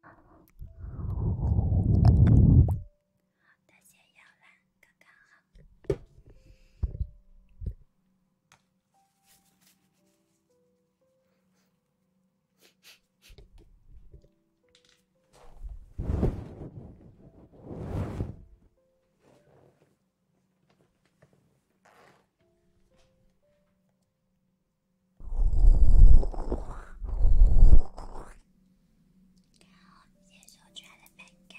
好的，先摇篮，刚刚好。看我一手抓的，没干，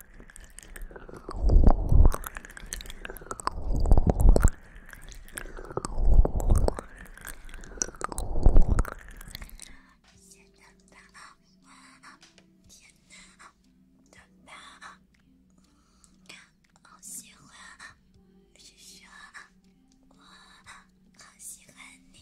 甜的，好喜欢。不是说，我好喜欢你。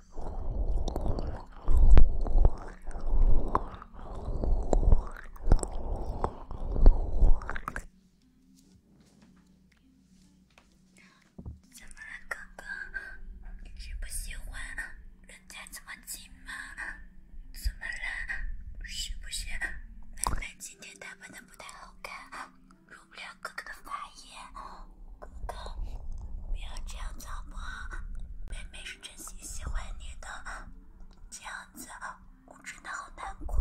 怎么了，哥哥？是不喜欢人家这么近吗？怎么了？是不是妹妹今天打扮的不太好看，入不了哥哥的法？哥，不要这样糟蹋，妹妹是真心喜欢你的，这样子我真的好难过。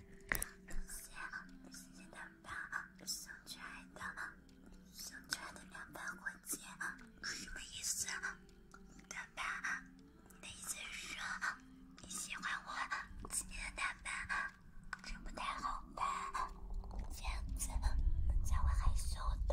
戒指啊，今天的男伴啊，想穿的，想穿的两对婚戒啊，什么意思啊？男伴啊，你的意思是说你喜欢我？今天的男伴啊，这不太好吧？这样子才会害羞的。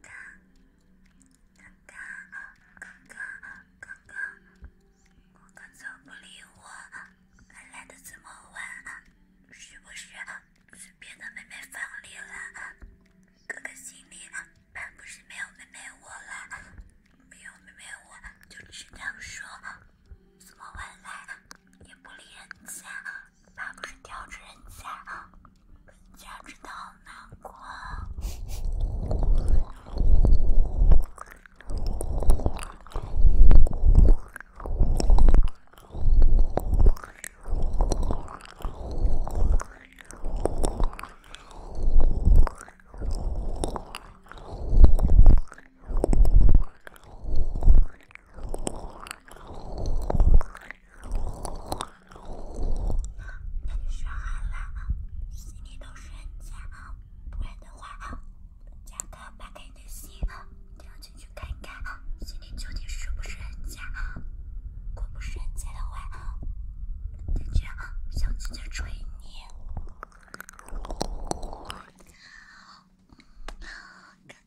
哥，哥哥，哥哥，哥哥，哥哥怎么不理我？来的这么晚，是不是身边的妹妹芳丽了？哥哥心里不是没有妹妹我了，没有妹妹我，就知道说怎么晚来，也不理人家。他不是吊着人家，可谁知道呢？过。那你就选好了，心里都是假，不然的话，哥哥打开你的心，跳进去看看，心里究竟是不是人假？如果不是人假的话，感觉小姐姐追你。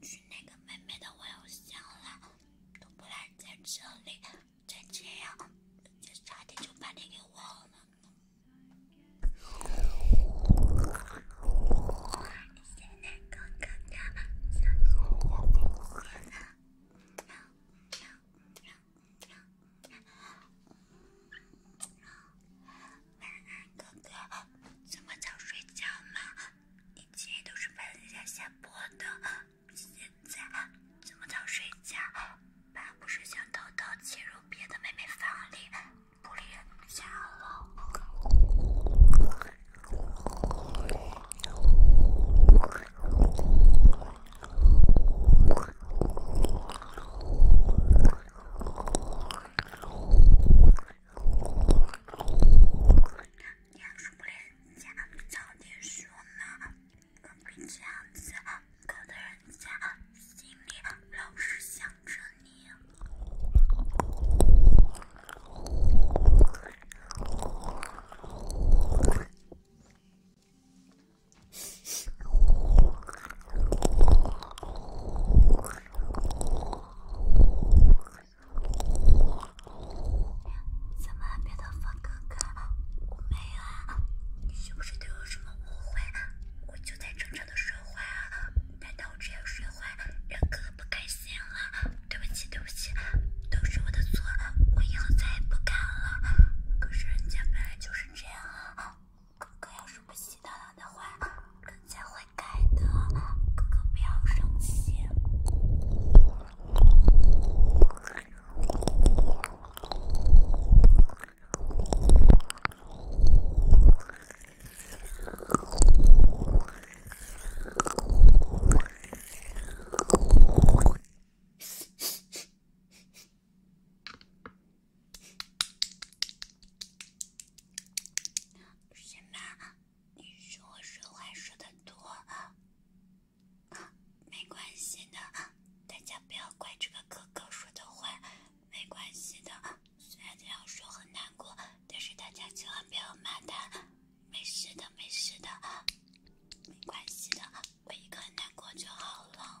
去那个妹妹的微信了，都不来在这里，再这样，就差点就把你给忘了。晚安哥哥，这么早睡觉吗？以前都是半夜下播的，现在这么早睡觉？爸不是想偷偷进入别的妹妹房里，不理人家了。要是不联系，早点说呢，可不这样子，搞得人家心里老是想着你。怎么，别的房哥哥没有啊？你是不是对我有什么误会？我就在正常的说话啊，难道我这样说话让哥哥不开心了？对不起，对不起，都是我的错我以后再也不敢了。可是人家本来就是这样啊，哥哥要是不……知道了的话，哥哥会改的，哥哥不要生气。别拿。你说我说话说的多，没关系的，大家不要怪这个哥哥说的话，没关系的，虽然这样说很难过，但是大家千万不要骂他，没事的没事的，没关系的，我一个人难过就好了。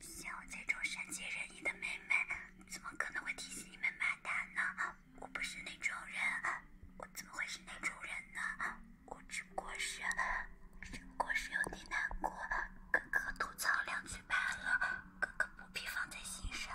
像我这种善解人意的妹妹，怎么可能会提醒你们骂他呢？我不是那种人，我怎么会是那种人呢？我只不过是，只不过是有点难过，哥哥吐槽两句罢了，哥哥不必放在心上。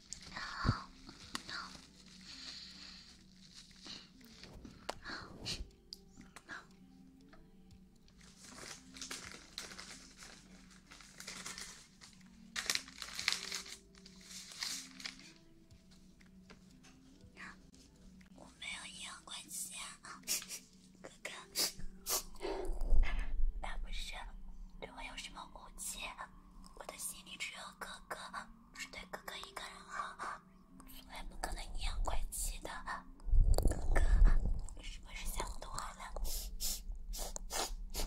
no no 我没有阴阳怪气啊，哥哥，他不是对我有什么误解？我的心里只有哥哥，只对哥哥一个人好，对外不可能阴阳怪气的。哥哥，是不是想我了？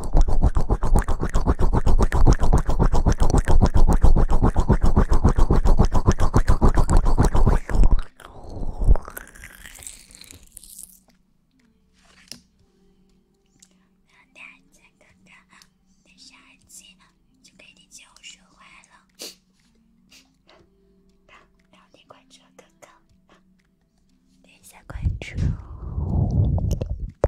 聊天，哥哥，我有点生气了，就给你结束话了。聊天，关注哥哥，点一下关注。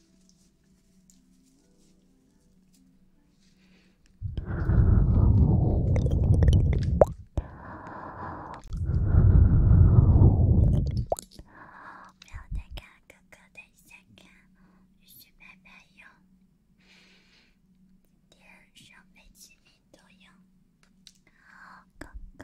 不要等哥哥，等一下看，也许妹妹有，天上每七米都有哥哥。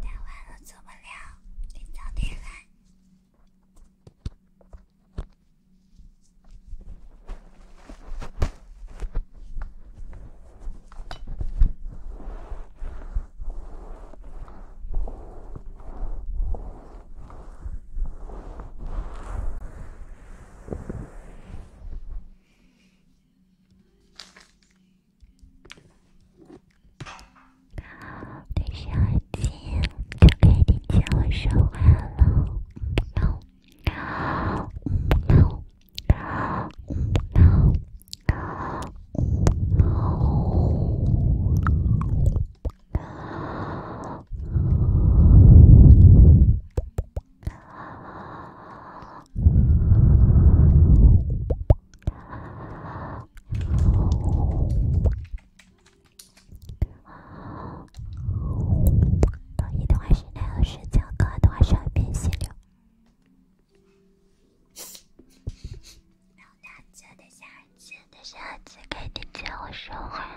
太晚了，做不了，明天再来。对上镜就可以听见我说话了。同一动画室内和时间各动画设备协调。然后，下次的下次的下次，给你接我说话。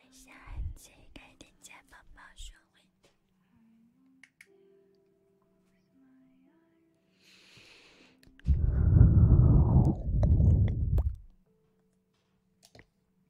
等下，可以点见宝宝说话。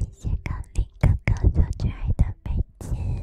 一些刚被哥哥所坠爱的飞机。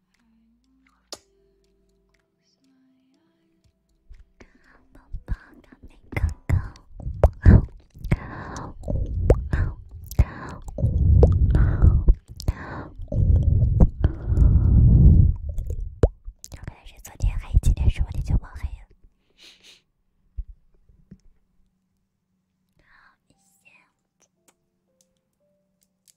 可能是昨天黑，今天说不定就冒黑。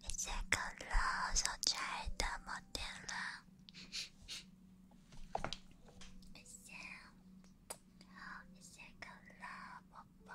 一些可乐，手抓的摩天轮，一些，好一些可乐，宝宝。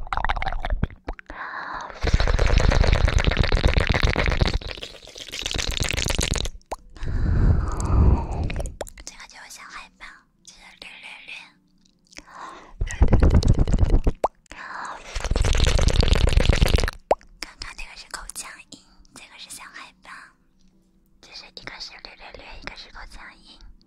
这个叫小海豹，这是六六六。刚刚这个是口腔音，这个是小海豹，这是一个是略略略，一个是口腔音。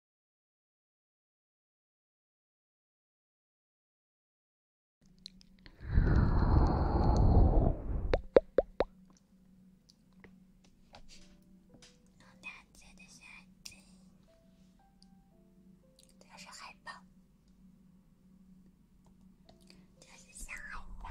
橙色的小猴子，就是海豹，就是小海豹。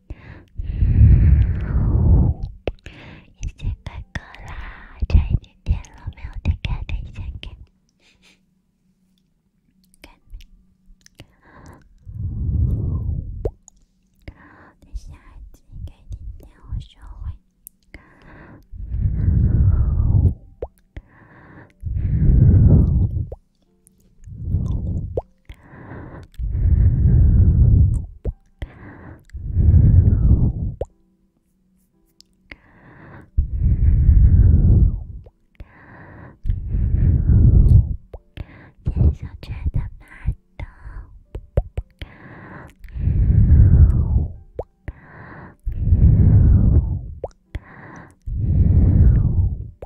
已经开歌啦，差一点点了，没有打开的，先开，开，等下再开点点，我收回。天上的北斗。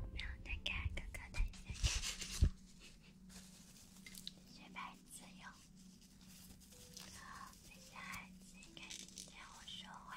我们要打开哥哥的手机，准备使用。哥哥，现在请开始听我说话。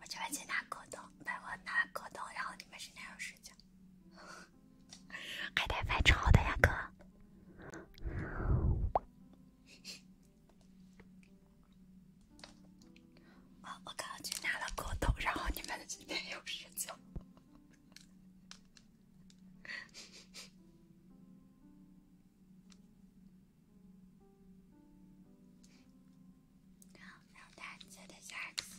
我去外去拿果冻，我拿了果冻，然后你们今天有时间还得翻炒的呀，哥。我刚刚去拿了果冻，然后你们今天有时间。No, no, that's the sharks.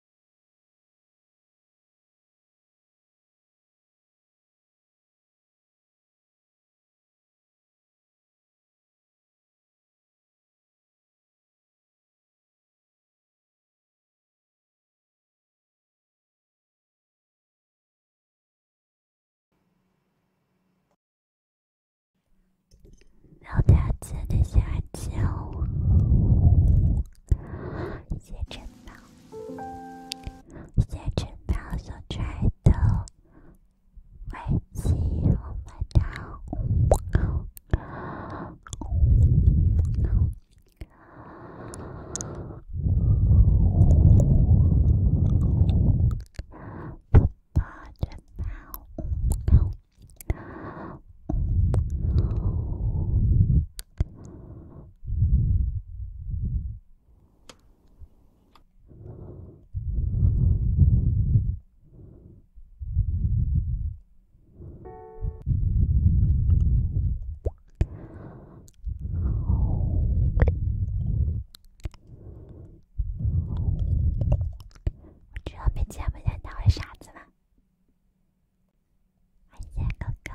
老大真的想见我，写真呢。先吃妈妈所传的维 C 红粉汤。不把这汤。我主要被节目人当的傻子了，谢谢哥哥。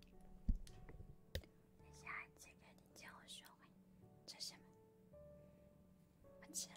下一次跟你结婚，说什么？不吃了。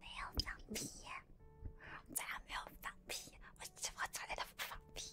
没有放屁，咱俩没有放屁，我欺负咱俩都不放屁。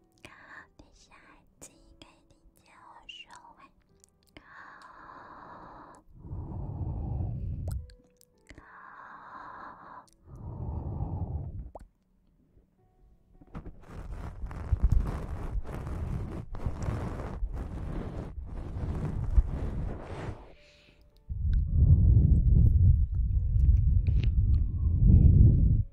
你小孩子可以理解我说话。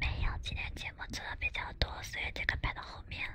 没有，今天节目做的比较多，所以这个排到后面了。